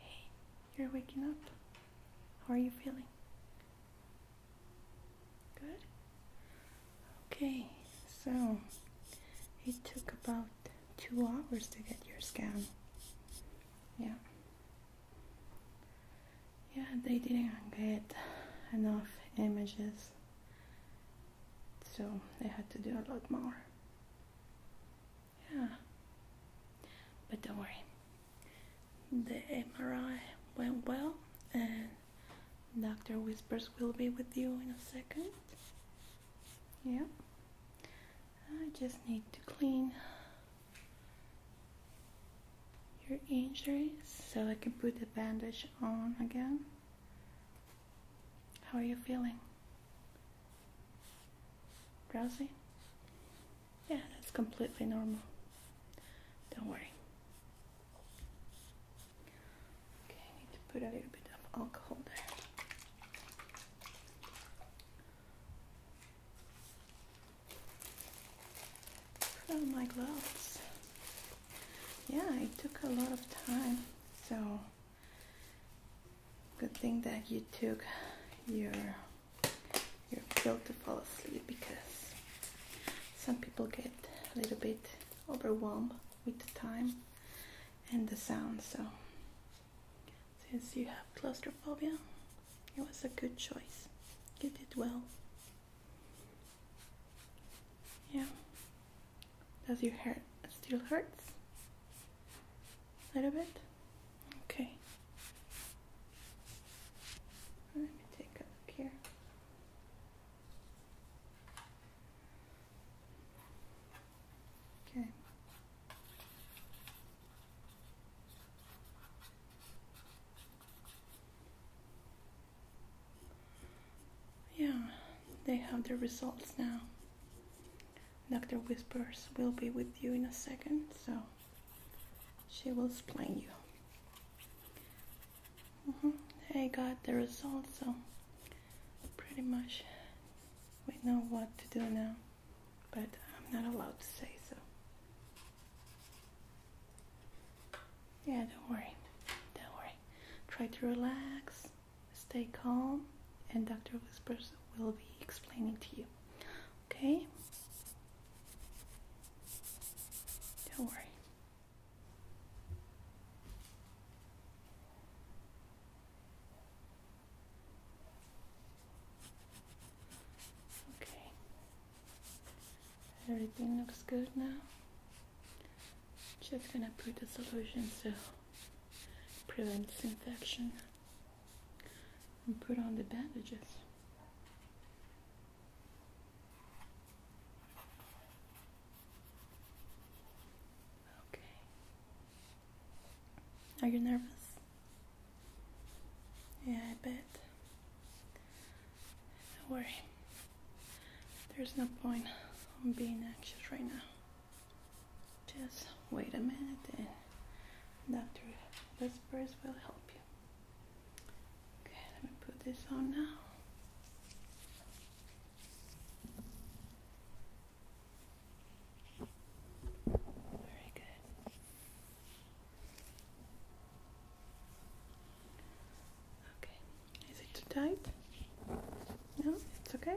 Hey, you're waking up. How are you feeling? Good? Okay, so it took about two hours to get your scan. Yeah yeah they didn't get enough images so they had to do a lot more yeah but don't worry the MRI went well and Dr. Whispers will be with you in a second yeah I just need to clean your injury so I can put the bandage on again. How are you feeling? Drowsy? Yeah, that's completely normal. Don't worry. Okay, I need to put a little bit of alcohol there put on my gloves. Yeah, it took a lot of time, so good thing that you took your your pill to fall asleep because some people get a little bit overwhelmed with the time and the sound. So since you have claustrophobia, it was a good choice. You did well. Yeah. Does your hair still hurts? A little bit? Okay. Let me take a look here. Okay. Yeah, they have the results now. Dr. Whispers will be with you in a second, so she will explain you. Mm They got the results, so pretty much we know what to do now, but I'm not allowed to say so. Yeah, don't worry. Don't worry. Try to relax, stay calm, and Dr. Whispers will be explaining to you. Okay? Don't worry. Okay. Everything looks good now. Just gonna put the solution to prevent infection and put on the bandages. Okay. Are you nervous? Yeah, I bet. Don't worry, there's no point on being anxious right now. Just wait a minute and Dr. Vespers will help you. Okay, let me put this on now. Very good. Okay, is it too tight? No, it's okay.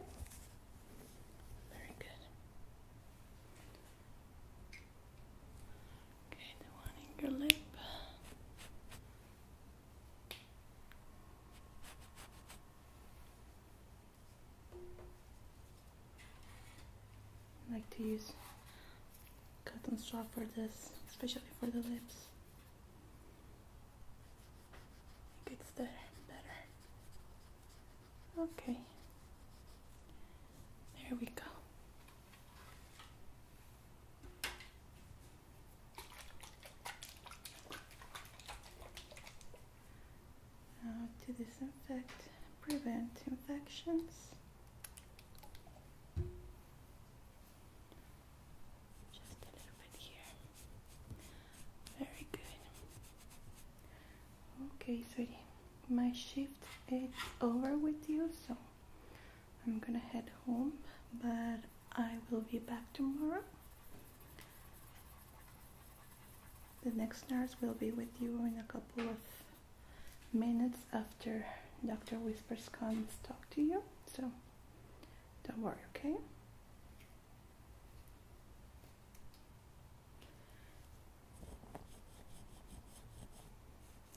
Very good. Okay, the one in your lip. I like to use cotton straw for this, especially for the lips. gets there better. Okay. There we go. Now to disinfect, prevent infections. Just a little bit here. Very good. Okay, sweetie. My shift is over with you, so I'm gonna head home, but I will be back tomorrow. The next nurse will be with you in a couple of minutes after Dr. Whispers comes talk to you. So don't worry, okay?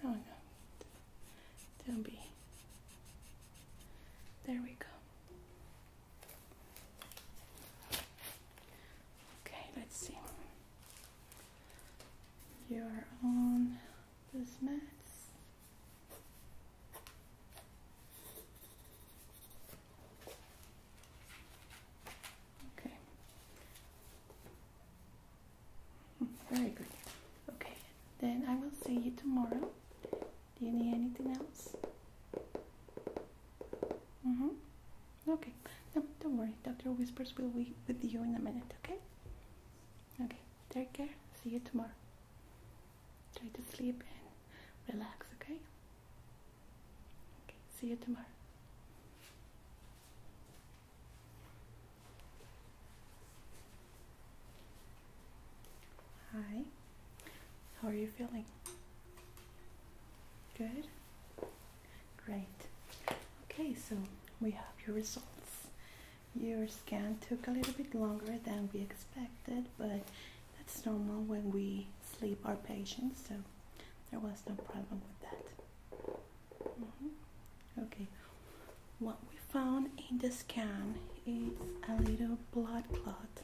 Oh no. Don't be. There we go. Okay, let's see. You're on those mats. Okay. Very good. Okay, then I will see you tomorrow. Do you need anything else? Mm-hmm. Okay. No, don't worry. Dr. Whispers will be with you in a minute, okay? Okay, take care. See you tomorrow. Try to sleep and relax, okay? Okay, see you tomorrow. Hi, how are you feeling? Good? Great. Okay, so we have your results. Your scan took a little bit longer than we expected, but that's normal when we sleep our patients, so there was no problem with that. Mm-hmm. Okay, what we found in the scan is a little blood clot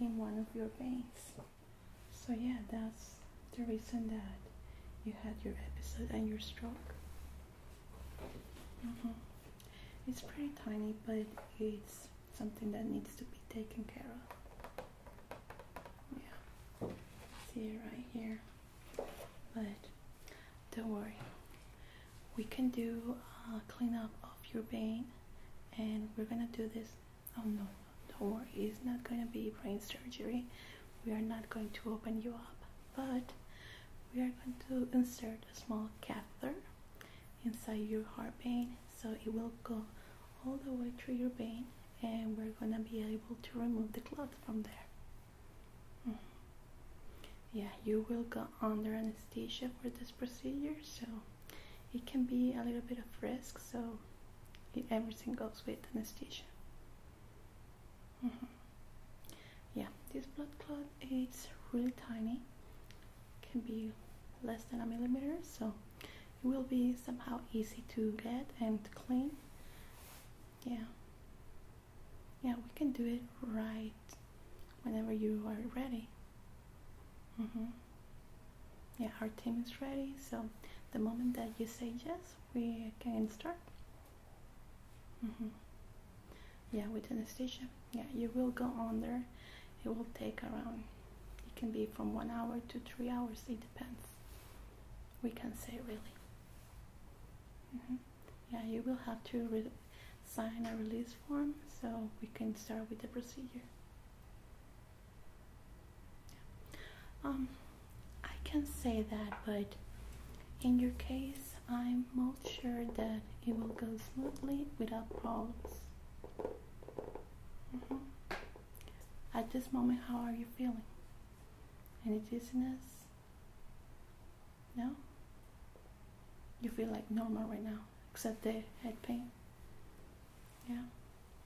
in one of your veins. So yeah, that's the reason that you had your episode and your stroke. Mm-hmm. It's pretty tiny, but it's something that needs to be taken care of. Yeah, see it right here. But don't worry, we can do a cleanup of your brain, and we're gonna do this. Oh no, don't worry, it's not gonna be brain surgery. We are not going to open you up but we are going to insert a small catheter inside your heart vein so it will go all the way through your vein and we're going to be able to remove the clot from there mm-hmm. yeah you will go under anesthesia for this procedure so it can be a little bit of risk so everything goes with anesthesia Mm-hmm. Yeah, this blood clot it's really tiny, can be less than a millimeter, so it will be somehow easy to get and clean. Yeah, yeah, we can do it right whenever you are ready. Mm-hmm. Yeah, our team is ready, so the moment that you say yes, we can start. Mm -hmm. Yeah, with anesthesia, yeah, you will go under. It will take around, it can be from one hour to three hours, it depends. We can say really. Mm -hmm. Yeah, you will have to sign a release form so we can start with the procedure. Yeah. Um, I can say that, but in your case, I'm not sure that it will go smoothly without problems. Mm-hmm. At this moment, how are you feeling? Any dizziness? No? You feel like normal right now, except the head pain? Yeah?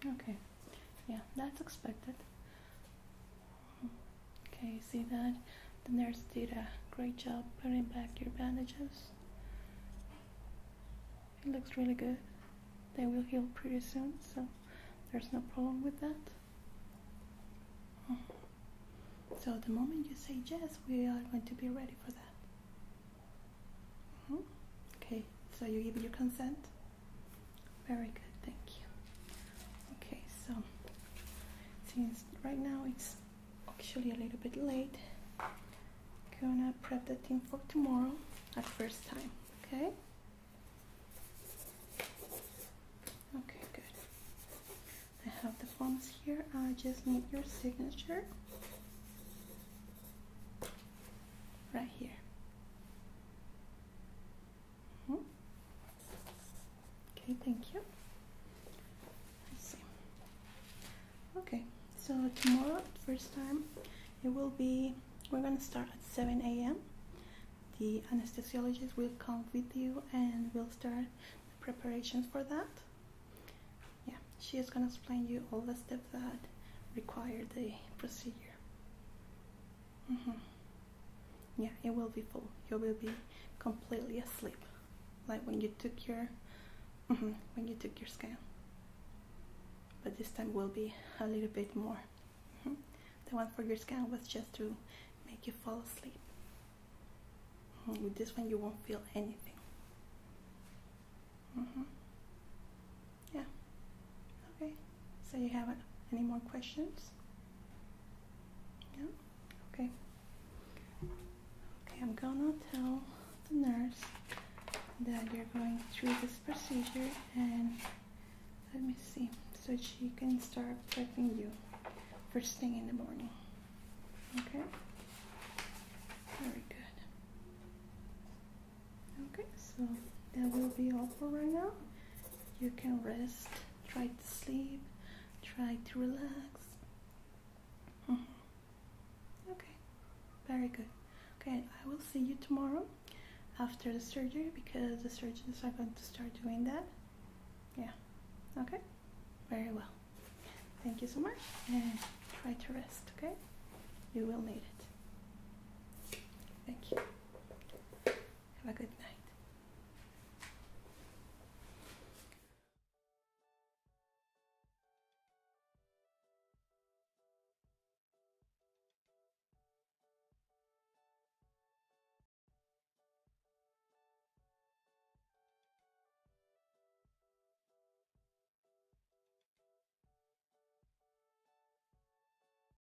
Okay. Yeah, that's expected. Okay, see that? The nurse did a great job putting back your bandages. It looks really good. They will heal pretty soon, so there's no problem with that. So the moment you say yes, we are going to be ready for that. Mm-hmm. Okay, so you give your consent? Very good, thank you. Okay, so since right now it's actually a little bit late, gonna prep the team for tomorrow at first time, okay? Okay, good. I have the forms here. I just need your signature right here. Mm-hmm. Okay, thank you. Okay, so tomorrow, first time, it will be, we're gonna start at 7 a.m. The anesthesiologist will come with you and will start preparations for that. Yeah, she is gonna explain you all the steps that require the procedure. Mm -hmm yeah, it will be full. You will be completely asleep, like when you took your mm-hmm, when you took your scan. But this time will be a little bit more. Mm-hmm. The one for your scan was just to make you fall asleep. Mm-hmm. With this one, you won't feel anything. Yeah. Okay. So you have any more questions? Yeah, okay. Okay, I'm gonna tell the nurse that you're going through this procedure and let me see so she can start prepping you first thing in the morning. Okay? Very good. Okay, so that will be all for right now you can rest, try to sleep, try to relax. Mm-hmm. Okay, very good. Okay, I will see you tomorrow after the surgery because the surgeons are going to start doing that. Yeah, okay, very well. Thank you so much and try to rest, okay? You will need it. Thank you. Have a good night.